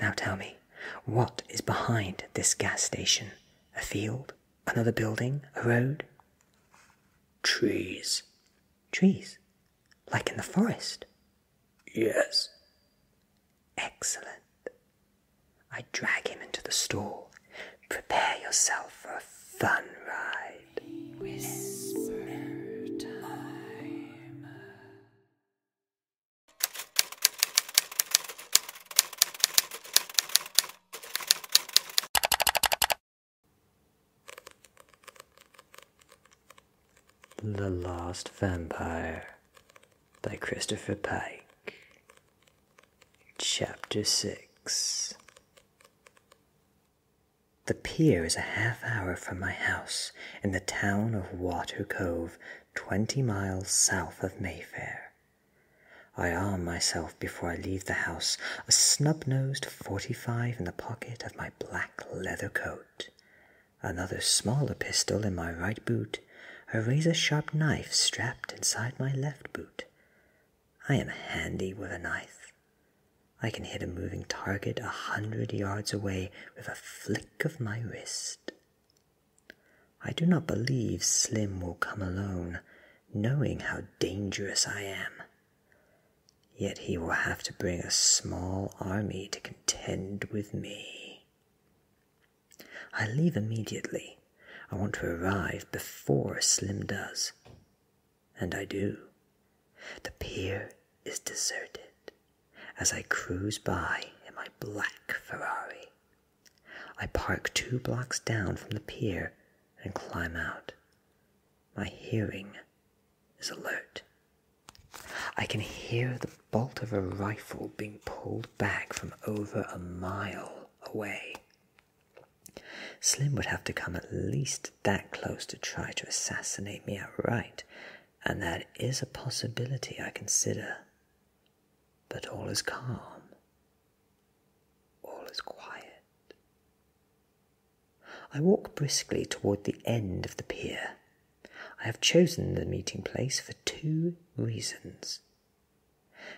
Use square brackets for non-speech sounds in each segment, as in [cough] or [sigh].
Now tell me, what is behind this gas station? A field? Another building? A road? Trees. Trees? Like in the forest? Yes. Excellent. I drag him into the stall. Prepare yourself for a fun ride. The Last Vampire by Christopher Pike. Chapter 6 The pier is a half hour from my house in the town of Water Cove, twenty miles south of Mayfair. I arm myself before I leave the house, a snub nosed 45 in the pocket of my black leather coat, another smaller pistol in my right boot, a razor sharp knife strapped inside my left boot. I am handy with a knife. I can hit a moving target a hundred yards away with a flick of my wrist. I do not believe Slim will come alone, knowing how dangerous I am. Yet he will have to bring a small army to contend with me. I leave immediately. I want to arrive before Slim does. And I do. The pier is deserted as I cruise by in my black Ferrari. I park two blocks down from the pier and climb out. My hearing is alert. I can hear the bolt of a rifle being pulled back from over a mile away. Slim would have to come at least that close to try to assassinate me outright and that is a possibility I consider. But all is calm, all is quiet. I walk briskly toward the end of the pier. I have chosen the meeting place for two reasons.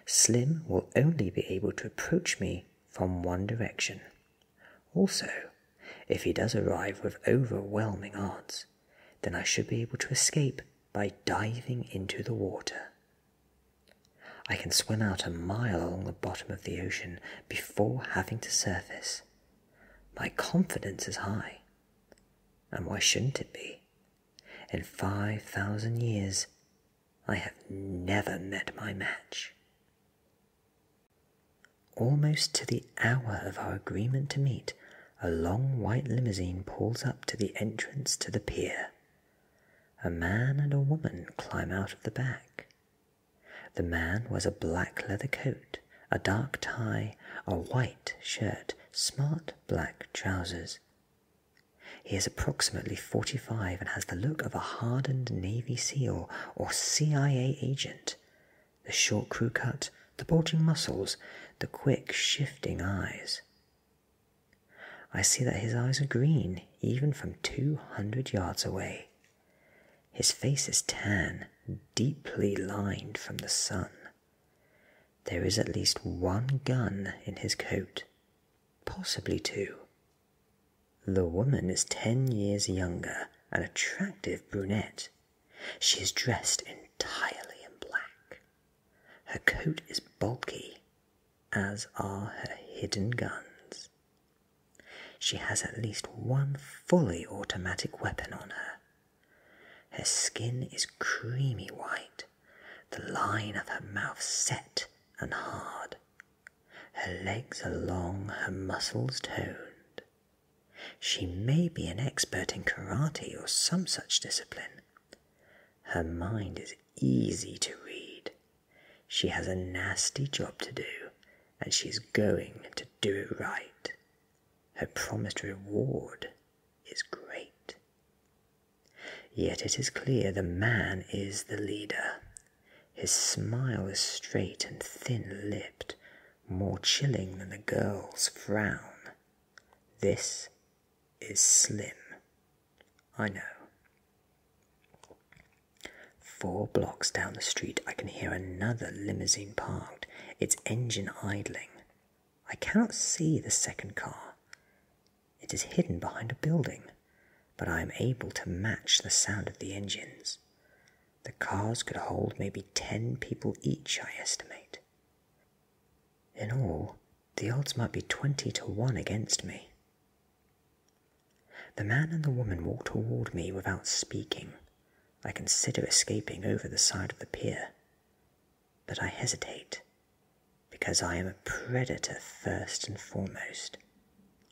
Slim will only be able to approach me from one direction. Also, if he does arrive with overwhelming odds, then I should be able to escape by diving into the water. I can swim out a mile along the bottom of the ocean before having to surface. My confidence is high. And why shouldn't it be? In 5,000 years, I have never met my match. Almost to the hour of our agreement to meet, a long white limousine pulls up to the entrance to the pier. A man and a woman climb out of the back. The man wears a black leather coat, a dark tie, a white shirt, smart black trousers. He is approximately 45 and has the look of a hardened Navy SEAL or CIA agent, the short crew cut, the bulging muscles, the quick shifting eyes. I see that his eyes are green, even from 200 yards away. His face is tan, deeply lined from the sun. There is at least one gun in his coat, possibly two. The woman is ten years younger, an attractive brunette. She is dressed entirely in black. Her coat is bulky, as are her hidden guns. She has at least one fully automatic weapon on her. Her skin is creamy white, the line of her mouth set and hard. Her legs are long, her muscles toned. She may be an expert in karate or some such discipline. Her mind is easy to read. She has a nasty job to do, and she is going to do it right. Her promised reward is great. Yet it is clear the man is the leader. His smile is straight and thin lipped, more chilling than the girl's frown. This is slim. I know. Four blocks down the street, I can hear another limousine parked, its engine idling. I cannot see the second car. It is hidden behind a building, but I am able to match the sound of the engines. The cars could hold maybe ten people each, I estimate. In all, the odds might be twenty to one against me. The man and the woman walk toward me without speaking. I consider escaping over the side of the pier, but I hesitate because I am a predator first and foremost.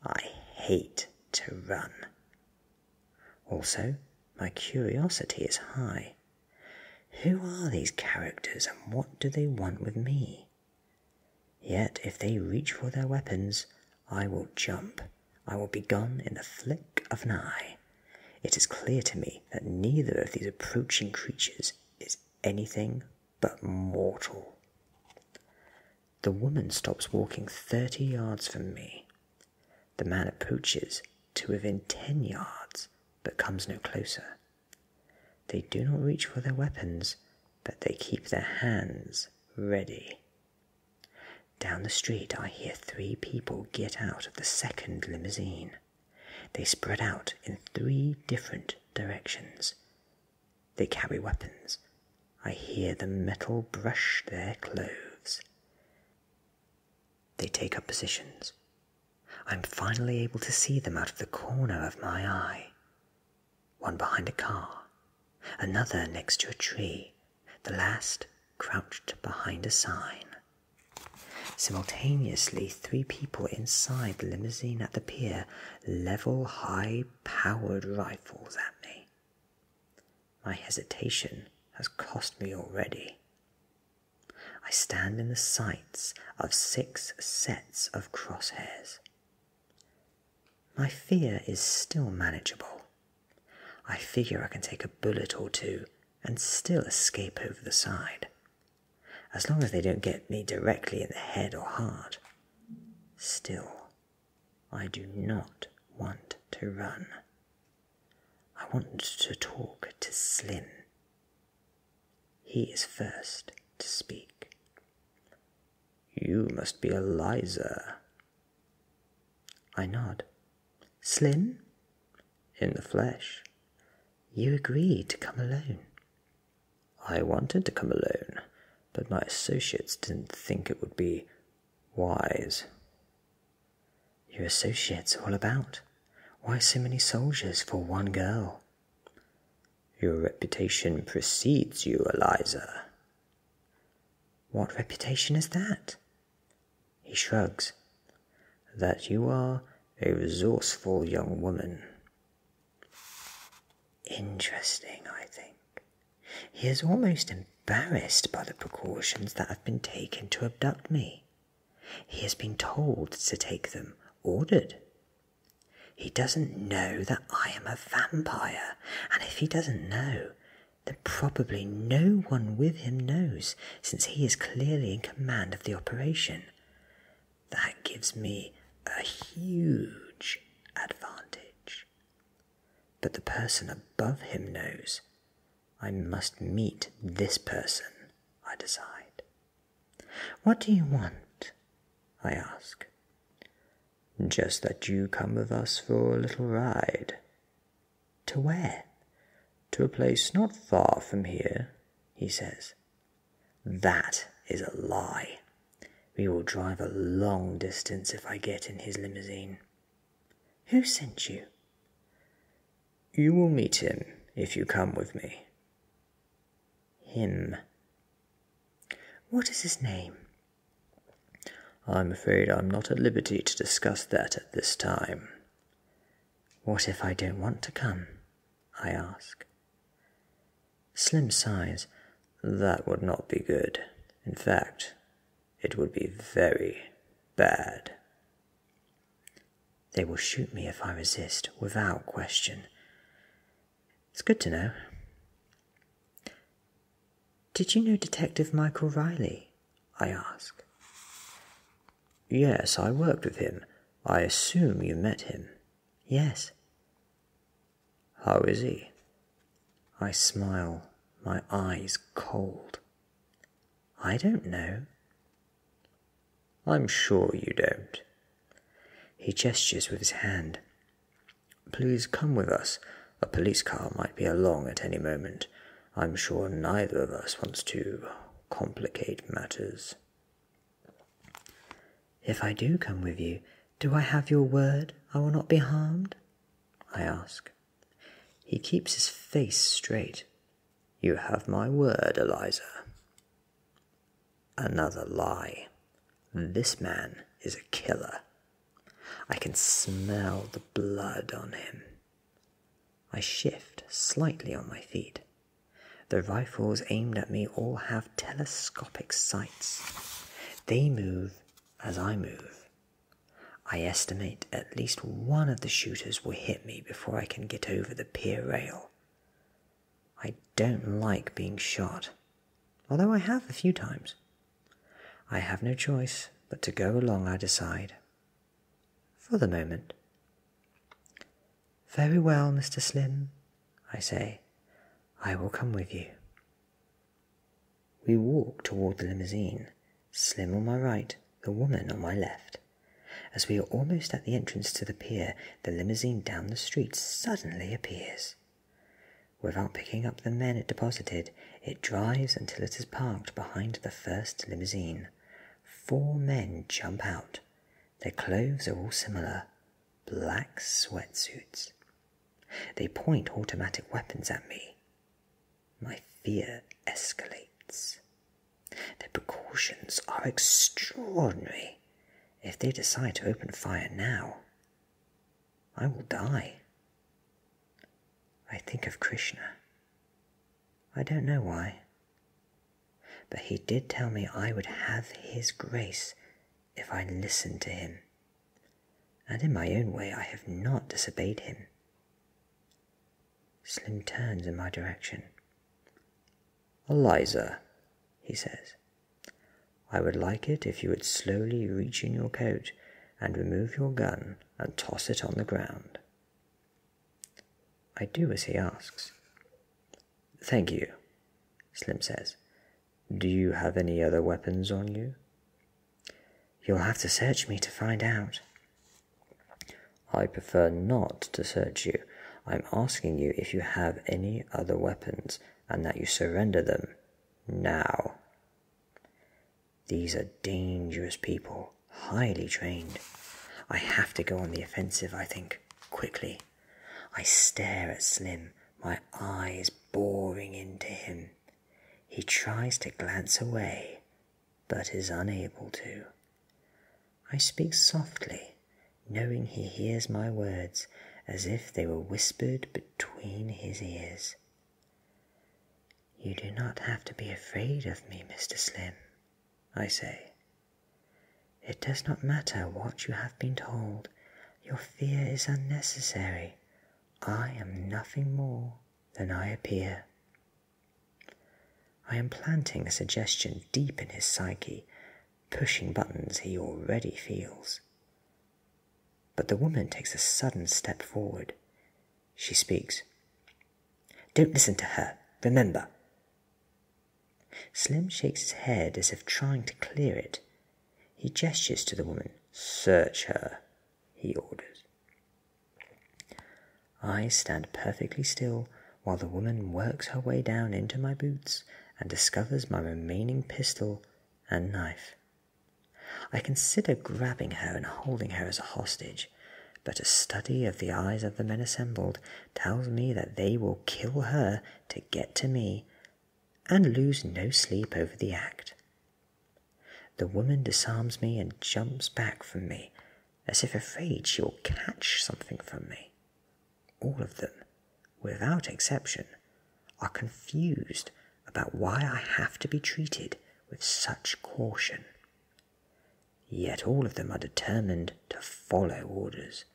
I hate to run. Also, my curiosity is high. Who are these characters and what do they want with me? Yet if they reach for their weapons, I will jump. I will be gone in the flick of an eye. It is clear to me that neither of these approaching creatures is anything but mortal. The woman stops walking thirty yards from me. The man approaches to within ten yards, but comes no closer. They do not reach for their weapons, but they keep their hands ready. Down the street, I hear three people get out of the second limousine. They spread out in three different directions. They carry weapons. I hear the metal brush their clothes. They take up positions. I'm finally able to see them out of the corner of my eye. One behind a car, another next to a tree, the last crouched behind a sign. Simultaneously, three people inside the limousine at the pier level high powered rifles at me. My hesitation has cost me already. I stand in the sights of six sets of crosshairs. My fear is still manageable. I figure I can take a bullet or two and still escape over the side, as long as they don't get me directly in the head or heart. Still, I do not want to run. I want to talk to Slim. He is first to speak. You must be Eliza. I nod. Slim? In the flesh. You agreed to come alone. I wanted to come alone, but my associates didn't think it would be wise. Your associates all about. Why so many soldiers for one girl? Your reputation precedes you, Eliza. What reputation is that? He shrugs. That you are a resourceful young woman. Interesting, I think. He is almost embarrassed by the precautions that have been taken to abduct me. He has been told to take them, ordered. He doesn't know that I am a vampire, and if he doesn't know, then probably no one with him knows, since he is clearly in command of the operation. That gives me a huge advantage. But the person above him knows, I must meet this person, I decide. What do you want? I ask. Just that you come with us for a little ride. To where? To a place not far from here, he says. That is a lie. We will drive a long distance if I get in his limousine. Who sent you? You will meet him if you come with me. Him. What is his name? I'm afraid I'm not at liberty to discuss that at this time. What if I don't want to come? I ask. Slim sighs. That would not be good. In fact, it would be very bad. They will shoot me if I resist, without question. It's good to know. Did you know Detective Michael Riley? I ask. Yes, I worked with him. I assume you met him. Yes. How is he? I smile, my eyes cold. I don't know. I'm sure you don't. He gestures with his hand. Please come with us. A police car might be along at any moment. I'm sure neither of us wants to complicate matters. If I do come with you, do I have your word I will not be harmed? I ask. He keeps his face straight. You have my word, Eliza. Another lie. This man is a killer. I can smell the blood on him. I shift slightly on my feet. The rifles aimed at me all have telescopic sights. They move as I move, I estimate at least one of the shooters will hit me before I can get over the pier rail. I don't like being shot, although I have a few times. I have no choice but to go along, I decide. For the moment. Very well, Mr. Slim, I say. I will come with you. We walk toward the limousine, Slim on my right, the woman on my left. As we are almost at the entrance to the pier, the limousine down the street suddenly appears. Without picking up the men it deposited, it drives until it is parked behind the first limousine. Four men jump out. Their clothes are all similar black sweatsuits. They point automatic weapons at me my fear escalates. The precautions are extraordinary. If they decide to open fire now, I will die. I think of Krishna. I don't know why. But he did tell me I would have his grace if I listened to him. And in my own way, I have not disobeyed him. Slim turns in my direction. Eliza, he says, I would like it if you would slowly reach in your coat and remove your gun and toss it on the ground. I do as he asks. Thank you, Slim says. Do you have any other weapons on you? You'll have to search me to find out. I prefer not to search you. I'm asking you if you have any other weapons and that you surrender them now. These are dangerous people, highly trained. I have to go on the offensive, I think, quickly. I stare at Slim, my eyes boring into him. He tries to glance away, but is unable to. I speak softly, knowing he hears my words as if they were whispered between his ears. You do not have to be afraid of me, Mr. Slim, I say. It does not matter what you have been told, your fear is unnecessary. I am nothing more than I appear. I am planting a suggestion deep in his psyche, pushing buttons he already feels. But the woman takes a sudden step forward. She speaks. Don't listen to her, remember. Slim shakes his head as if trying to clear it. He gestures to the woman. Search her he orders. I stand perfectly still while the woman works her way down into my boots and discovers my remaining pistol and knife. I consider grabbing her and holding her as a hostage, but a study of the eyes of the men assembled tells me that they will kill her to get to me and lose no sleep over the act. The woman disarms me and jumps back from me, as if afraid she will catch something from me. All of them, without exception, are confused about why I have to be treated with such caution. Yet all of them are determined to follow orders.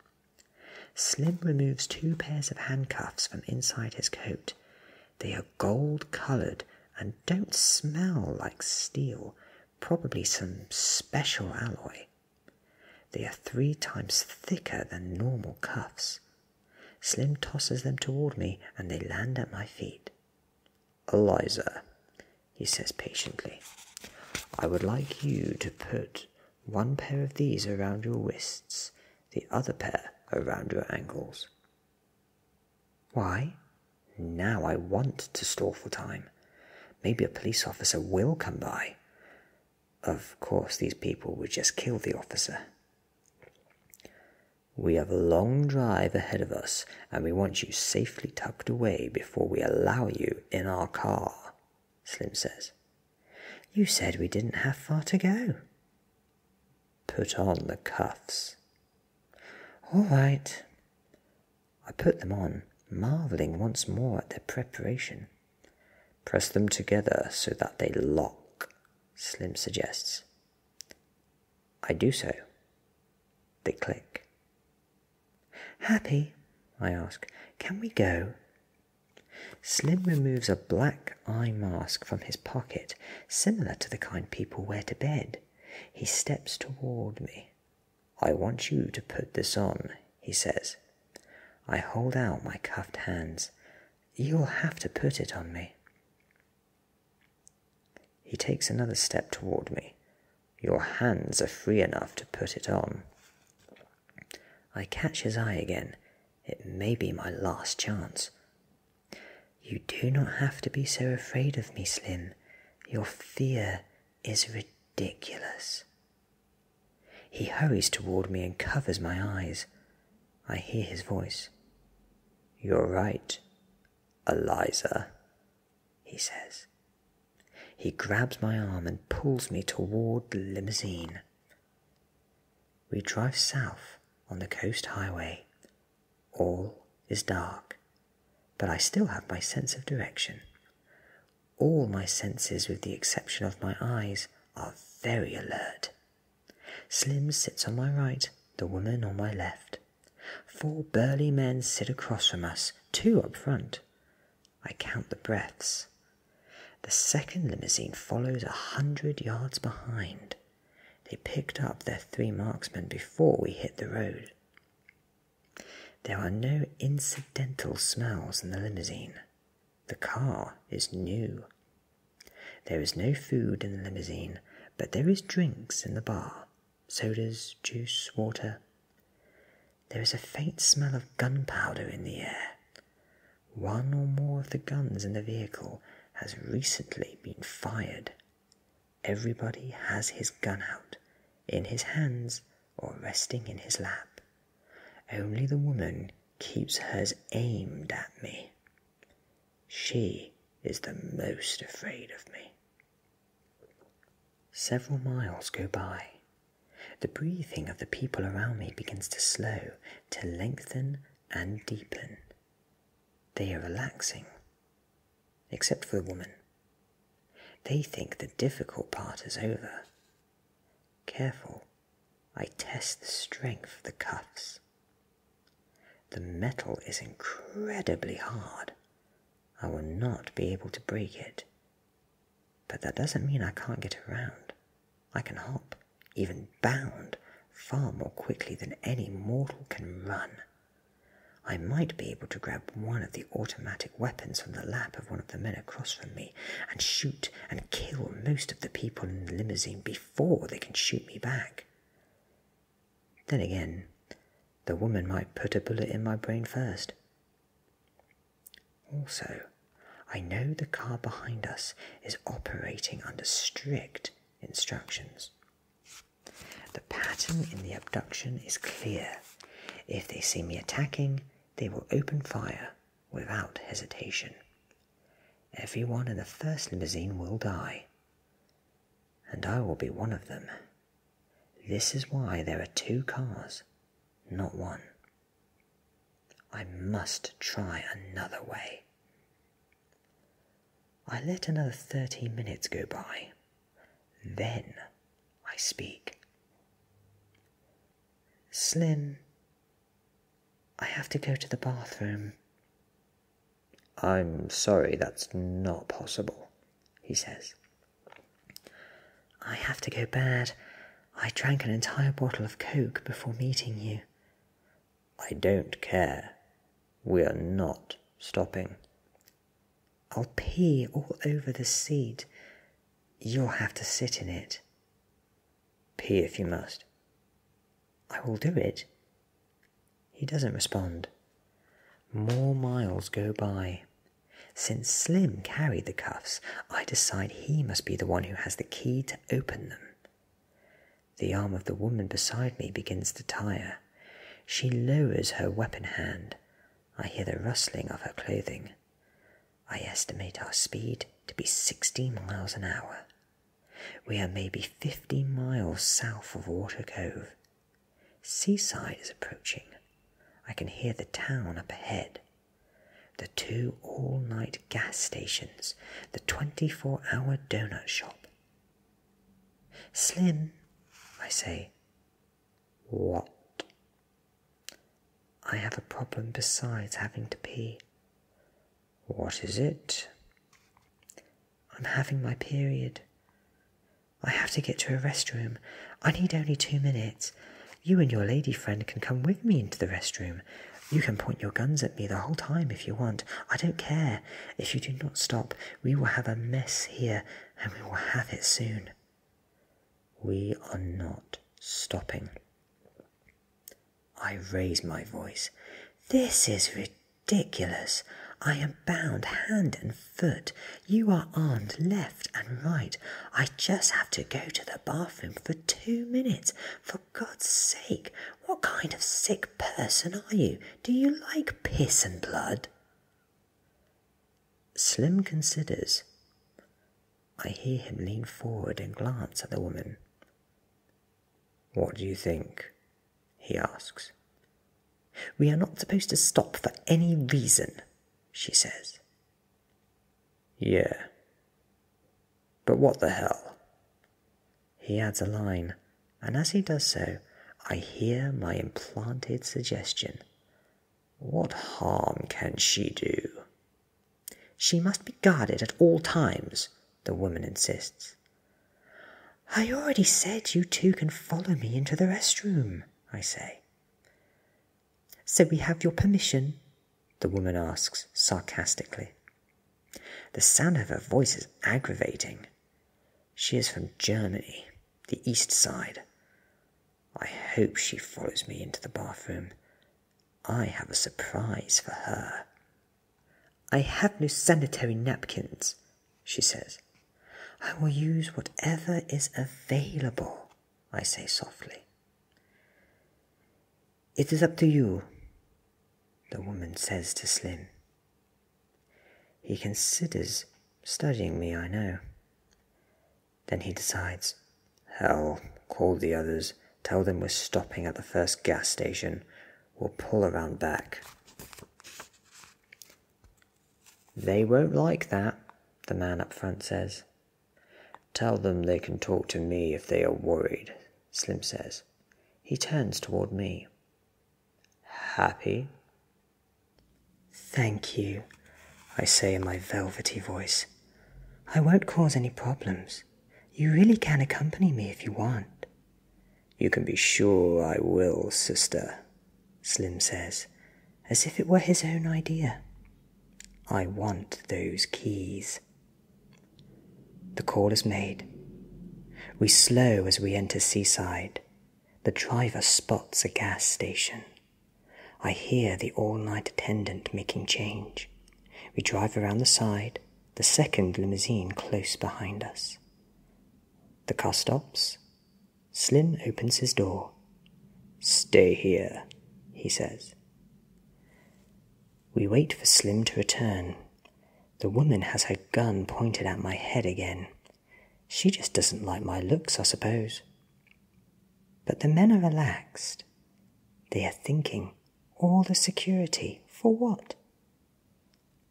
Slim removes two pairs of handcuffs from inside his coat. They are gold coloured and don't smell like steel, probably some special alloy. They are three times thicker than normal cuffs. Slim tosses them toward me and they land at my feet. Eliza, he says patiently, I would like you to put one pair of these around your wrists, the other pair around your ankles. Why? Now I want to stall for time. Maybe a police officer will come by. Of course, these people would just kill the officer. We have a long drive ahead of us, and we want you safely tucked away before we allow you in our car, Slim says. You said we didn't have far to go. Put on the cuffs, all right. I put them on, marveling once more at their preparation. Press them together so that they lock, Slim suggests. I do so. They click. Happy, I ask, can we go? Slim removes a black eye mask from his pocket, similar to the kind people wear to bed. He steps toward me. I want you to put this on, he says. I hold out my cuffed hands. You'll have to put it on me. He takes another step toward me. Your hands are free enough to put it on. I catch his eye again. It may be my last chance. You do not have to be so afraid of me, Slim. Your fear is ridiculous. He hurries toward me and covers my eyes. I hear his voice. You're right, Eliza, he says. He grabs my arm and pulls me toward the limousine. We drive south on the coast highway all is dark, but I still have my sense of direction. All my senses, with the exception of my eyes, are very alert. Slim sits on my right, the woman on my left. Four burly men sit across from us, two up front. I count the breaths. The second limousine follows a hundred yards behind. They picked up their three marksmen before we hit the road. There are no incidental smells in the limousine. The car is new. There is no food in the limousine, but there is drinks in the bar sodas, juice, water. There is a faint smell of gunpowder in the air. One or more of the guns in the vehicle has recently been fired. Everybody has his gun out, in his hands or resting in his lap. Only the woman keeps hers aimed at me. She is the most afraid of me. Several miles go by. The breathing of the people around me begins to slow, to lengthen and deepen. They are relaxing except for the woman. They think the difficult part is over. Careful, I test the strength of the cuffs. The metal is incredibly hard. I will not be able to break it. But that doesn't mean I can't get around. I can hop, even bound, far more quickly than any mortal can run. I might be able to grab one of the automatic weapons from the lap of one of the men across from me and shoot and kill most of the people in the limousine before they can shoot me back. Then again, the woman might put a bullet in my brain first. Also, I know the car behind us is operating under strict instructions. The pattern in the abduction is clear. If they see me attacking, they will open fire without hesitation. Everyone in the first limousine will die, and I will be one of them. This is why there are two cars, not one. I must try another way. I let another thirty minutes go by then I speak. Slim, I have to go to the bathroom. I'm sorry, that's not possible, he says. I have to go bad. I drank an entire bottle of Coke before meeting you. I don't care. We are not stopping. I'll pee all over the seat. You'll have to sit in it. Pee if you must. I will do it. He doesn't respond. More miles go by. Since Slim carried the cuffs, I decide he must be the one who has the key to open them. The arm of the woman beside me begins to tire. She lowers her weapon hand. I hear the rustling of her clothing. I estimate our speed to be 60 miles an hour. We are maybe 50 miles south of Water Cove. Seaside is approaching. I can hear the town up ahead. The two all night gas stations, the 24 hour donut shop, Slim, I say. What? I have a problem besides having to pee. What is it? I'm having my period. I have to get to a restroom. I need only two minutes. You and your lady friend can come with me into the restroom. You can point your guns at me the whole time if you want. I don't care. If you do not stop, we will have a mess here, and we will have it soon. We are not stopping. I raise my voice. This is ridiculous. I am bound hand and foot. You are armed left and right. I just have to go to the bathroom for two minutes. For God's sake, what kind of sick person are you? Do you like piss and blood? Slim considers. I hear him lean forward and glance at the woman. What do you think? he asks. We are not supposed to stop for any reason, she says. Yeah. But what the hell? He adds a line and as he does so, I hear my implanted suggestion. What harm can she do? She must be guarded at all times, the woman insists. I already said you two can follow me into the restroom, I say. So we have your permission? the woman asks sarcastically. The sound of her voice is aggravating. She is from Germany, the east side. I hope she follows me into the bathroom. I have a surprise for her. I have no sanitary napkins, she says. I will use whatever is available, I say softly. It is up to you, the woman says to Slim. He considers studying me, I know. Then he decides, hell, call the others, tell them we're stopping at the first gas station, we'll pull around back. They won't like that, the man up front says. Tell them they can talk to me if they are worried, Slim says. He turns toward me. Happy? Thank you, I say in my velvety voice. I won't cause any problems. You really can accompany me if you want. You can be sure I will, sister, Slim says, as if it were his own idea. I want those keys. The call is made. We slow as we enter Seaside, the driver spots a gas station. I hear the all night attendant making change. We drive around the side, the second limousine close behind us. The car stops. Slim opens his door. Stay here, he says. We wait for Slim to return. The woman has her gun pointed at my head again, she just doesn't like my looks, I suppose. But the men are relaxed. They are thinking, all the security, for what?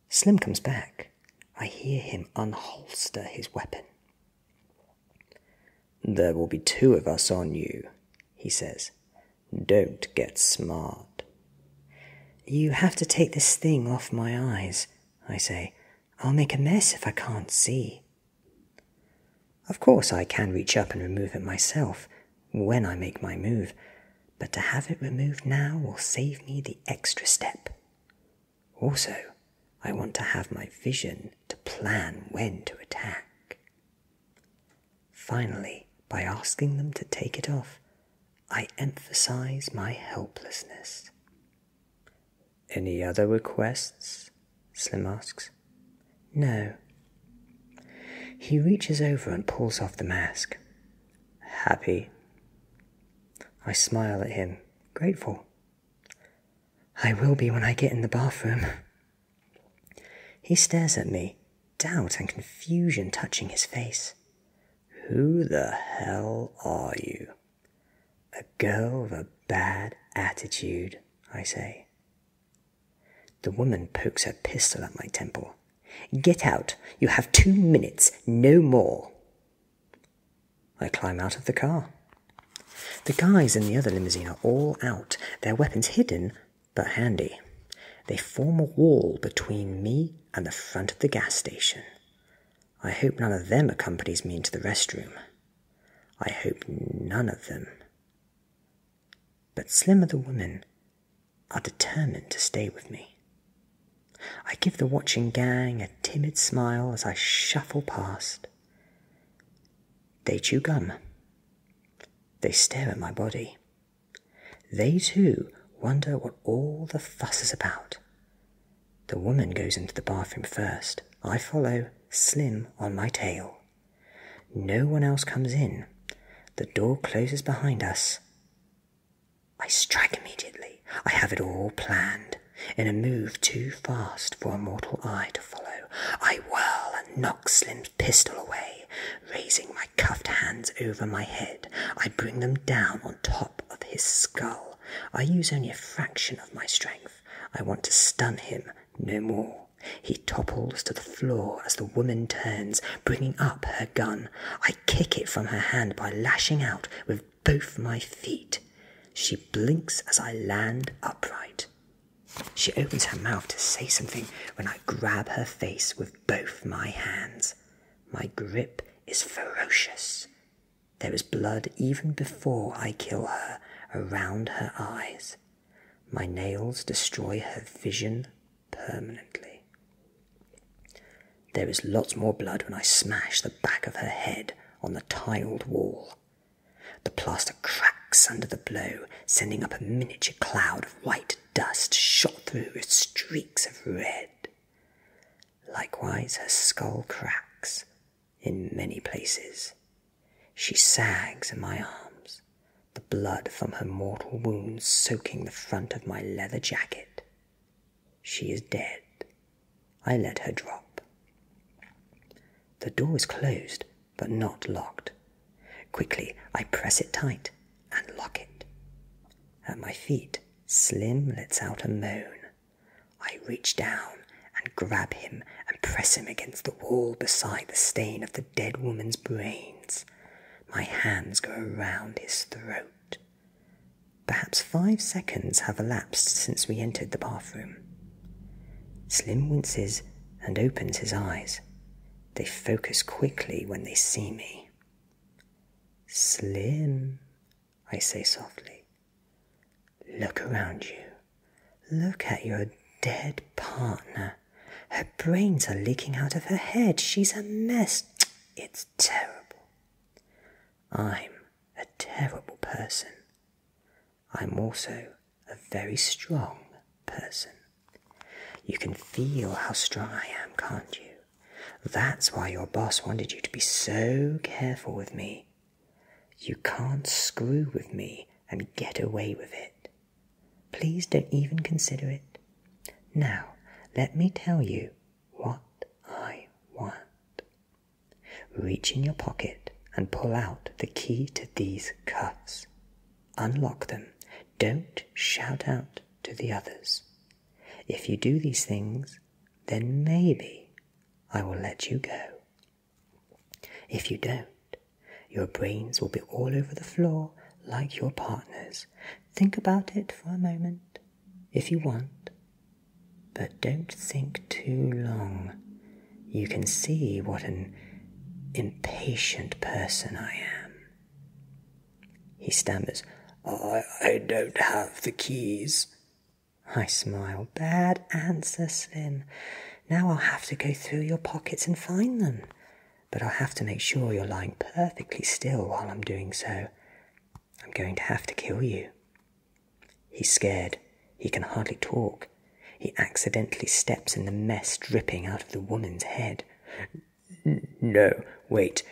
Slim comes back. I hear him unholster his weapon. There will be two of us on you, he says. Don't get smart. You have to take this thing off my eyes. I say. I'll make a mess if I can't see. Of course, I can reach up and remove it myself when I make my move, but to have it removed now will save me the extra step. Also, I want to have my vision to plan when to attack. Finally, by asking them to take it off, I emphasize my helplessness. Any other requests? Slim asks. No. He reaches over and pulls off the mask. Happy. I smile at him, grateful. I will be when I get in the bathroom. He stares at me, doubt and confusion touching his face. Who the hell are you? A girl with a bad attitude, I say. The woman pokes her pistol at my temple. Get out. You have two minutes, no more. I climb out of the car. The guys in the other limousine are all out, their weapons hidden but handy. They form a wall between me and the front of the gas station. I hope none of them accompanies me into the restroom. I hope none of them. But Slimmer the women are determined to stay with me. I give the watching gang a timid smile as I shuffle past. They chew gum. They stare at my body. They too wonder what all the fuss is about. The woman goes into the bathroom first. I follow, Slim on my tail. No one else comes in. The door closes behind us. I strike immediately. I have it all planned. In a move too fast for a mortal eye to follow, I whirl and knock Slim's pistol away. Raising my cuffed hands over my head, I bring them down on top of his skull. I use only a fraction of my strength. I want to stun him no more. He topples to the floor as the woman turns, bringing up her gun. I kick it from her hand by lashing out with both my feet. She blinks as I land upright. She opens her mouth to say something when I grab her face with both my hands. My grip is ferocious, there is blood even before I kill her around her eyes. My nails destroy her vision permanently. There is lots more blood when I smash the back of her head on the tiled wall. The plaster cracks under the blow, sending up a miniature cloud of white dust shot through with streaks of red. Likewise, her skull cracks in many places. She sags in my arms, the blood from her mortal wounds soaking the front of my leather jacket. She is dead. I let her drop. The door is closed, but not locked. Quickly, I press it tight and lock it. At my feet, Slim lets out a moan. I reach down and grab him and press him against the wall beside the stain of the dead woman's brains. My hands go around his throat. Perhaps five seconds have elapsed since we entered the bathroom. Slim winces and opens his eyes. They focus quickly when they see me. Slim, I say softly. Look around you. Look at your dead partner. Her brains are leaking out of her head. She's a mess. It's terrible. I'm a terrible person. I'm also a very strong person. You can feel how strong I am, can't you? That's why your boss wanted you to be so careful with me. You can't screw with me and get away with it. Please don't even consider it. Now, let me tell you what I want. Reach in your pocket and pull out the key to these cuffs. Unlock them. Don't shout out to the others. If you do these things, then maybe I will let you go. If you don't, your brains will be all over the floor like your partner's. Think about it for a moment, if you want, but don't think too long. You can see what an impatient person I am. He stammers, I, I don't have the keys. I smile. Bad answer, Slim. Now I'll have to go through your pockets and find them. But I'll have to make sure you're lying perfectly still while I'm doing so. I'm going to have to kill you. He's scared. He can hardly talk. He accidentally steps in the mess dripping out of the woman's head. No, wait,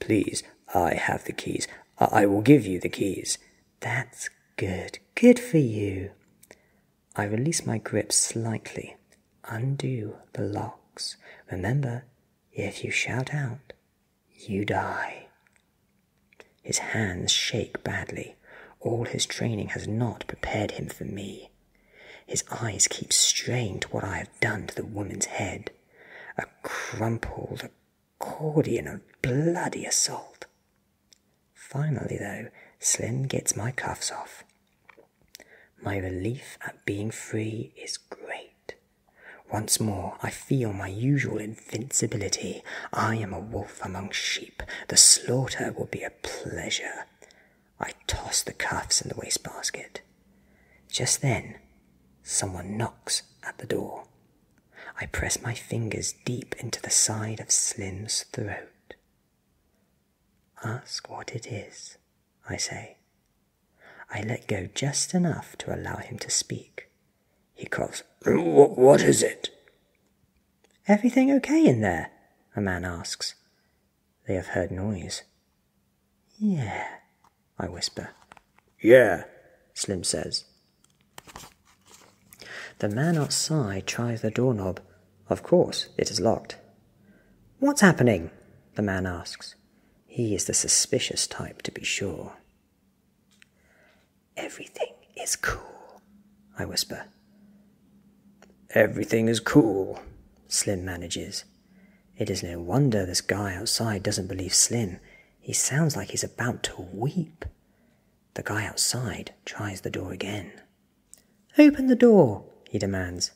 Please, I have the keys. I, will give you the keys. That's good. Good for you. I release my grip slightly. Undo the locks. Remember, if you shout out, you die. His hands shake badly. All his training has not prepared him for me. His eyes keep straying to what I have done to the woman's head. A crumpled, Cordy in bloody assault. Finally, though, Slim gets my cuffs off. My relief at being free is great. Once more, I feel my usual invincibility. I am a wolf among sheep. The slaughter will be a pleasure. I toss the cuffs in the wastebasket. Just then, someone knocks at the door. I press my fingers deep into the side of Slim's throat. Ask what it is, I say. I let go just enough to allow him to speak. He calls, What is it? Everything okay in there? A man asks. They have heard noise. Yeah, I whisper. Yeah, Slim says. The man outside tries the doorknob. Of course, it is locked. What's happening? the man asks. He is the suspicious type, to be sure. Everything is cool, I whisper. Everything is cool, Slim manages. It is no wonder this guy outside doesn't believe Slim. He sounds like he's about to weep. The guy outside tries the door again. Open the door, he demands.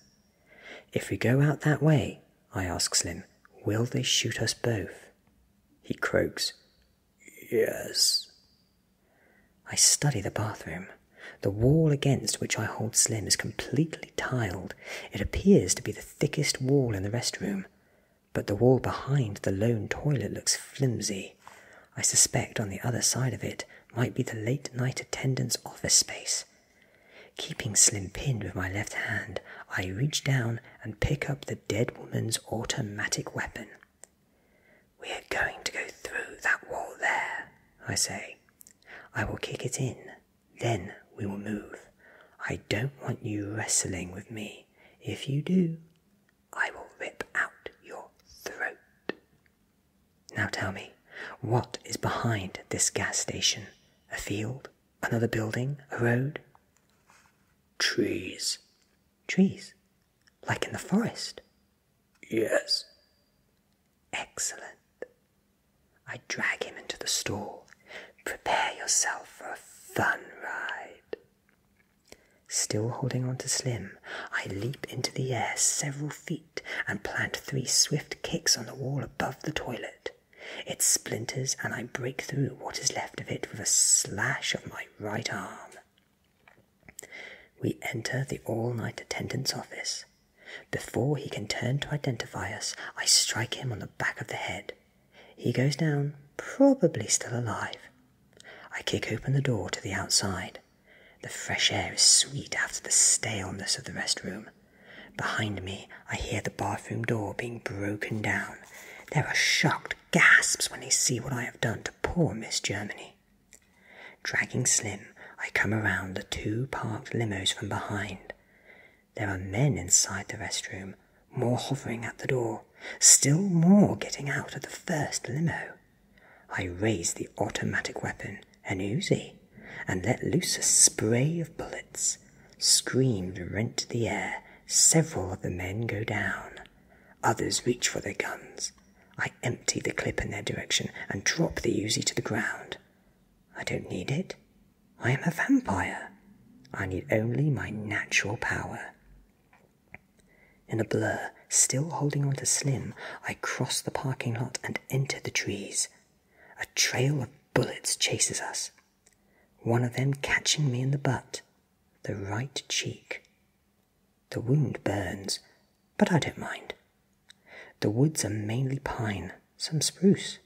If we go out that way, I ask Slim, will they shoot us both? He croaks, Yes. I study the bathroom. The wall against which I hold Slim is completely tiled. It appears to be the thickest wall in the restroom but the wall behind the lone toilet looks flimsy. I suspect on the other side of it might be the late night attendant's office space. Keeping Slim pinned with my left hand, I reach down and pick up the dead woman's automatic weapon. We are going to go through that wall there, I say. I will kick it in then we will move. I don't want you wrestling with me. If you do, I will rip out your throat. Now tell me, what is behind this gas station? A field? Another building? A road? Trees. Trees? Like in the forest? Yes. Excellent drag him into the stall. Prepare yourself for a fun ride. Still holding on to Slim, I leap into the air several feet and plant three swift kicks on the wall above the toilet. It splinters, and I break through what is left of it with a slash of my right arm. We enter the all night attendant's office. Before he can turn to identify us, I strike him on the back of the head. He goes down, probably still alive. I kick open the door to the outside. The fresh air is sweet after the staleness of the rest room. Behind me, I hear the bathroom door being broken down. There are shocked gasps when they see what I have done to poor Miss Germany. Dragging Slim, I come around the two parked limos from behind. There are men inside the restroom, more hovering at the door, still more getting out of the first limo. I raise the automatic weapon, an Uzi, and let loose a spray of bullets. Screams rent the air. Several of the men go down. Others reach for their guns. I empty the clip in their direction and drop the Uzi to the ground. I don't need it. I am a vampire. I need only my natural power. In a blur, still holding on to Slim, I cross the parking lot and enter the trees. A trail of bullets chases us, one of them catching me in the butt, the right cheek. The wound burns, but I don't mind. The woods are mainly pine, some spruce.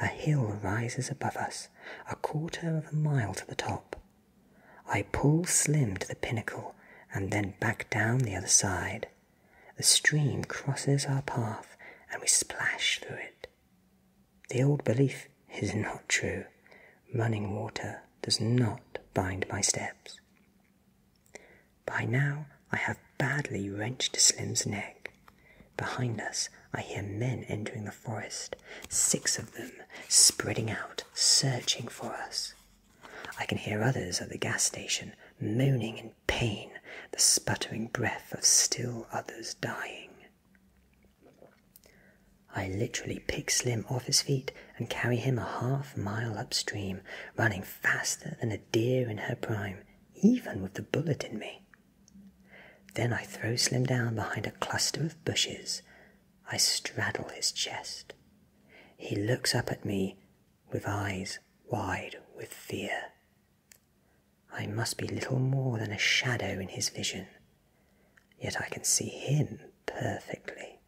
A hill rises above us, a quarter of a mile to the top. I pull Slim to the pinnacle and then back down the other side. The stream crosses our path and we splash through it. The old belief is not true. Running water does not bind my steps. By now I have badly wrenched Slim's neck Behind us, I hear men entering the forest, six of them, spreading out, searching for us. I can hear others at the gas station moaning in pain, the sputtering breath of still others dying. I literally pick Slim off his feet and carry him a half mile upstream, running faster than a deer in her prime, even with the bullet in me. Then I throw Slim down behind a cluster of bushes. I straddle his chest. He looks up at me with eyes wide with fear. I must be little more than a shadow in his vision, yet I can see him perfectly.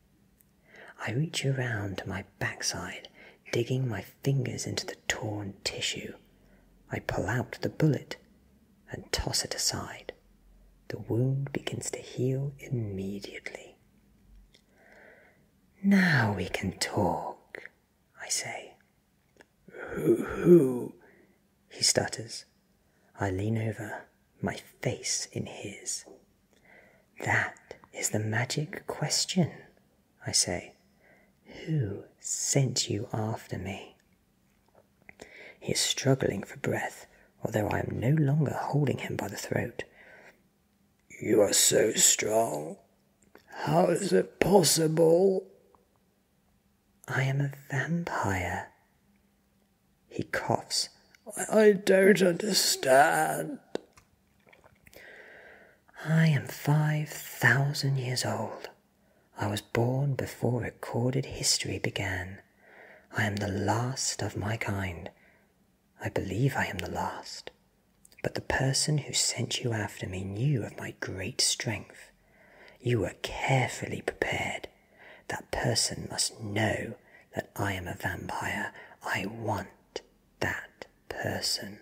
I reach around to my backside, digging my fingers into the torn tissue. I pull out the bullet and toss it aside, the wound begins to heal immediately. Now we can talk, I say. Who, who? He stutters. I lean over, my face in his. That is the magic question, I say. Who sent you after me? He is struggling for breath, although I am no longer holding him by the throat. You are so strong. How is it possible? I am a vampire. He coughs. I don't understand. I am five thousand years old. I was born before recorded history began. I am the last of my kind. I believe I am the last. But the person who sent you after me knew of my great strength. You were carefully prepared. That person must know that I am a vampire. I want that person.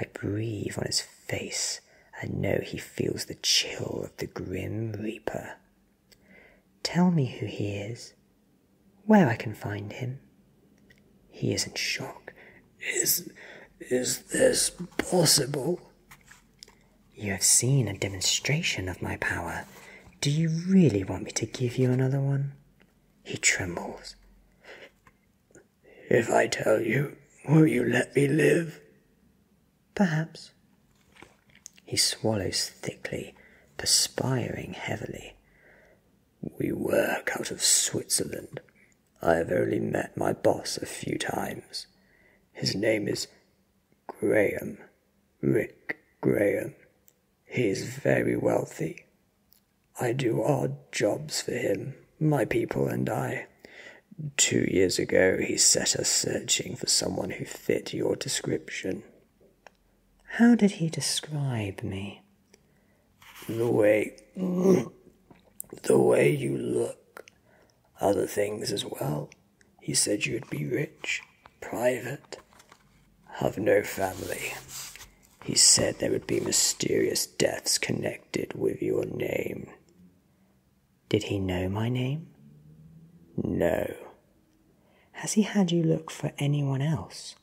I breathe on his face and know he feels the chill of the grim reaper. Tell me who he is, where I can find him. He is in shock. Is, is this possible? You have seen a demonstration of my power. Do you really want me to give you another one? He trembles. If I tell you, will you let me live? Perhaps. He swallows thickly, perspiring heavily. We work out of Switzerland. I have only met my boss a few times. His name is Graham, Rick Graham. He is very wealthy. I do odd jobs for him my people and I. Two years ago, he set us searching for someone who fit your description. How did he describe me? The way. [clears throat] the way you look. Other things as well. He said you'd be rich, private, have no family. He said there would be mysterious deaths connected with your name. Did he know my name? No. Has he had you look for anyone else?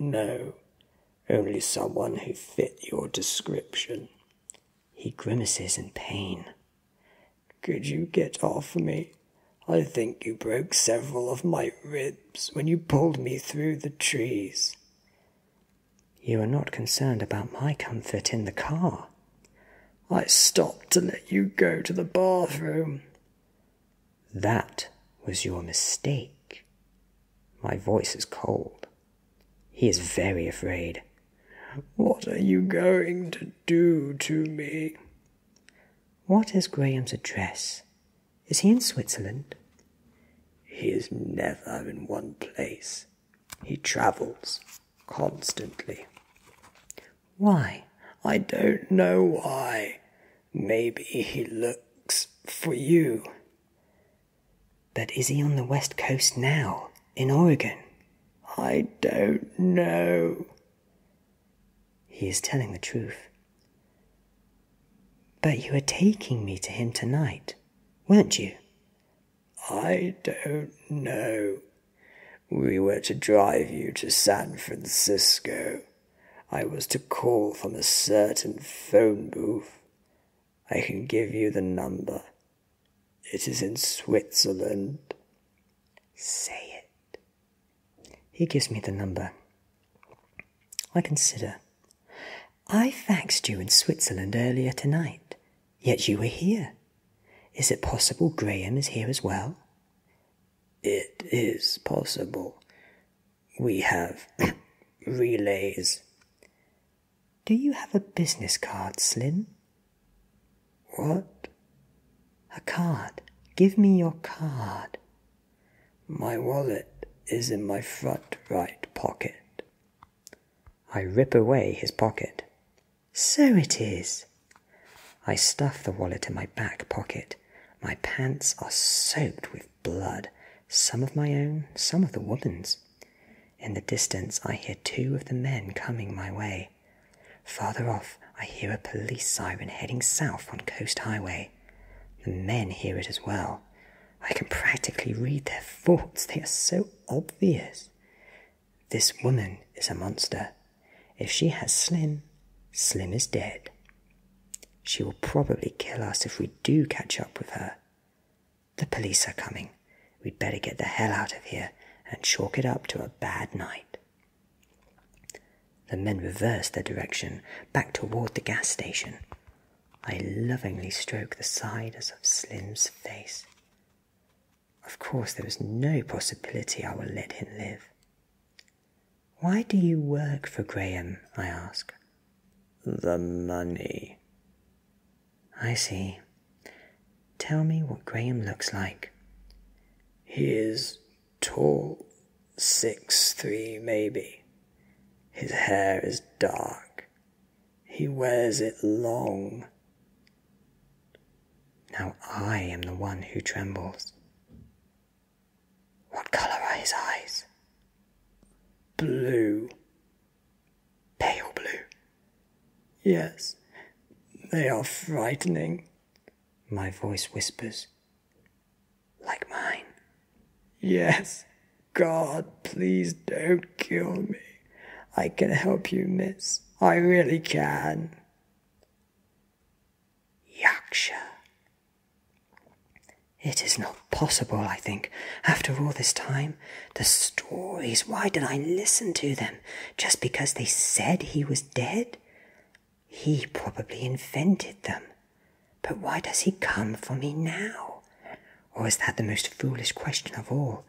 No, only someone who fit your description. He grimaces in pain. Could you get off me? I think you broke several of my ribs when you pulled me through the trees. You are not concerned about my comfort in the car. I stopped to let you go to the bathroom. That was your mistake. My voice is cold. He is very afraid. What are you going to do to me? What is Graham's address? Is he in Switzerland? He is never in one place. He travels constantly. Why? I don't know why. Maybe he looks for you. But is he on the west coast now, in Oregon? I don't know. He is telling the truth. But you were taking me to him tonight, weren't you? I don't know. We were to drive you to San Francisco. I was to call from a certain phone booth. I can give you the number. It is in Switzerland. Say it. He gives me the number. I consider. I faxed you in Switzerland earlier tonight, yet you were here. Is it possible Graham is here as well? It is possible. We have [coughs] relays. Do you have a business card, Slyn? What? A card. Give me your card. My wallet is in my front right pocket. I rip away his pocket. So it is. I stuff the wallet in my back pocket. My pants are soaked with blood, some of my own, some of the woman's. In the distance, I hear two of the men coming my way. Farther off, I hear a police siren heading south on Coast Highway. The men hear it as well. I can practically read their thoughts, they are so obvious. This woman is a monster. If she has Slim, Slim is dead. She will probably kill us if we do catch up with her. The police are coming. We'd better get the hell out of here and chalk it up to a bad night. The men reversed their direction back toward the gas station. I lovingly stroked the sides of Slim's face. Of course, there is no possibility I will let him live. Why do you work for Graham? I asked. The money. I see. Tell me what Graham looks like. He is tall, six three maybe. His hair is dark, he wears it long. Now I am the one who trembles. What colour are his eyes? Blue. Pale blue. Yes, they are frightening, my voice whispers. Like mine. Yes, God, please don't kill me. I can help you, miss. I really can. Yaksha. It is not possible, I think, after all this time. The stories, why did I listen to them? Just because they said he was dead? He probably invented them. But why does he come for me now? Or is that the most foolish question of all?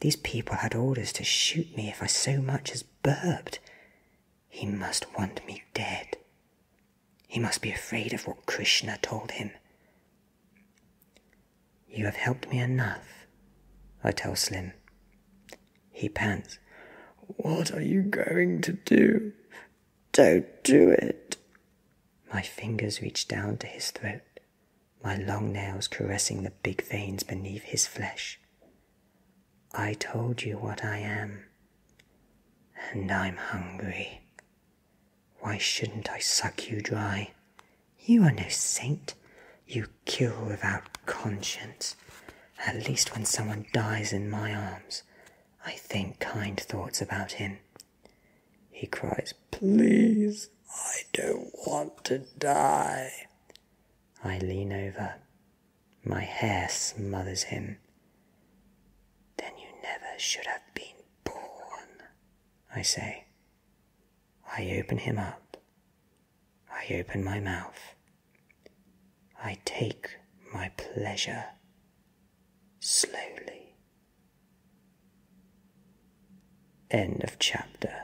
These people had orders to shoot me if I so much as burped. He must want me dead. He must be afraid of what Krishna told him. You have helped me enough, I tell Slim. He pants. What are you going to do? Don't do it. My fingers reach down to his throat my long nails caressing the big veins beneath his flesh. I told you what I am, and I'm hungry. Why shouldn't I suck you dry? You are no saint. You kill without conscience. At least when someone dies in my arms, I think kind thoughts about him he cries, Please, I don't want to die. I lean over. My hair smothers him. Then you never should have been born, I say. I open him up. I open my mouth. I take my pleasure slowly End of chapter.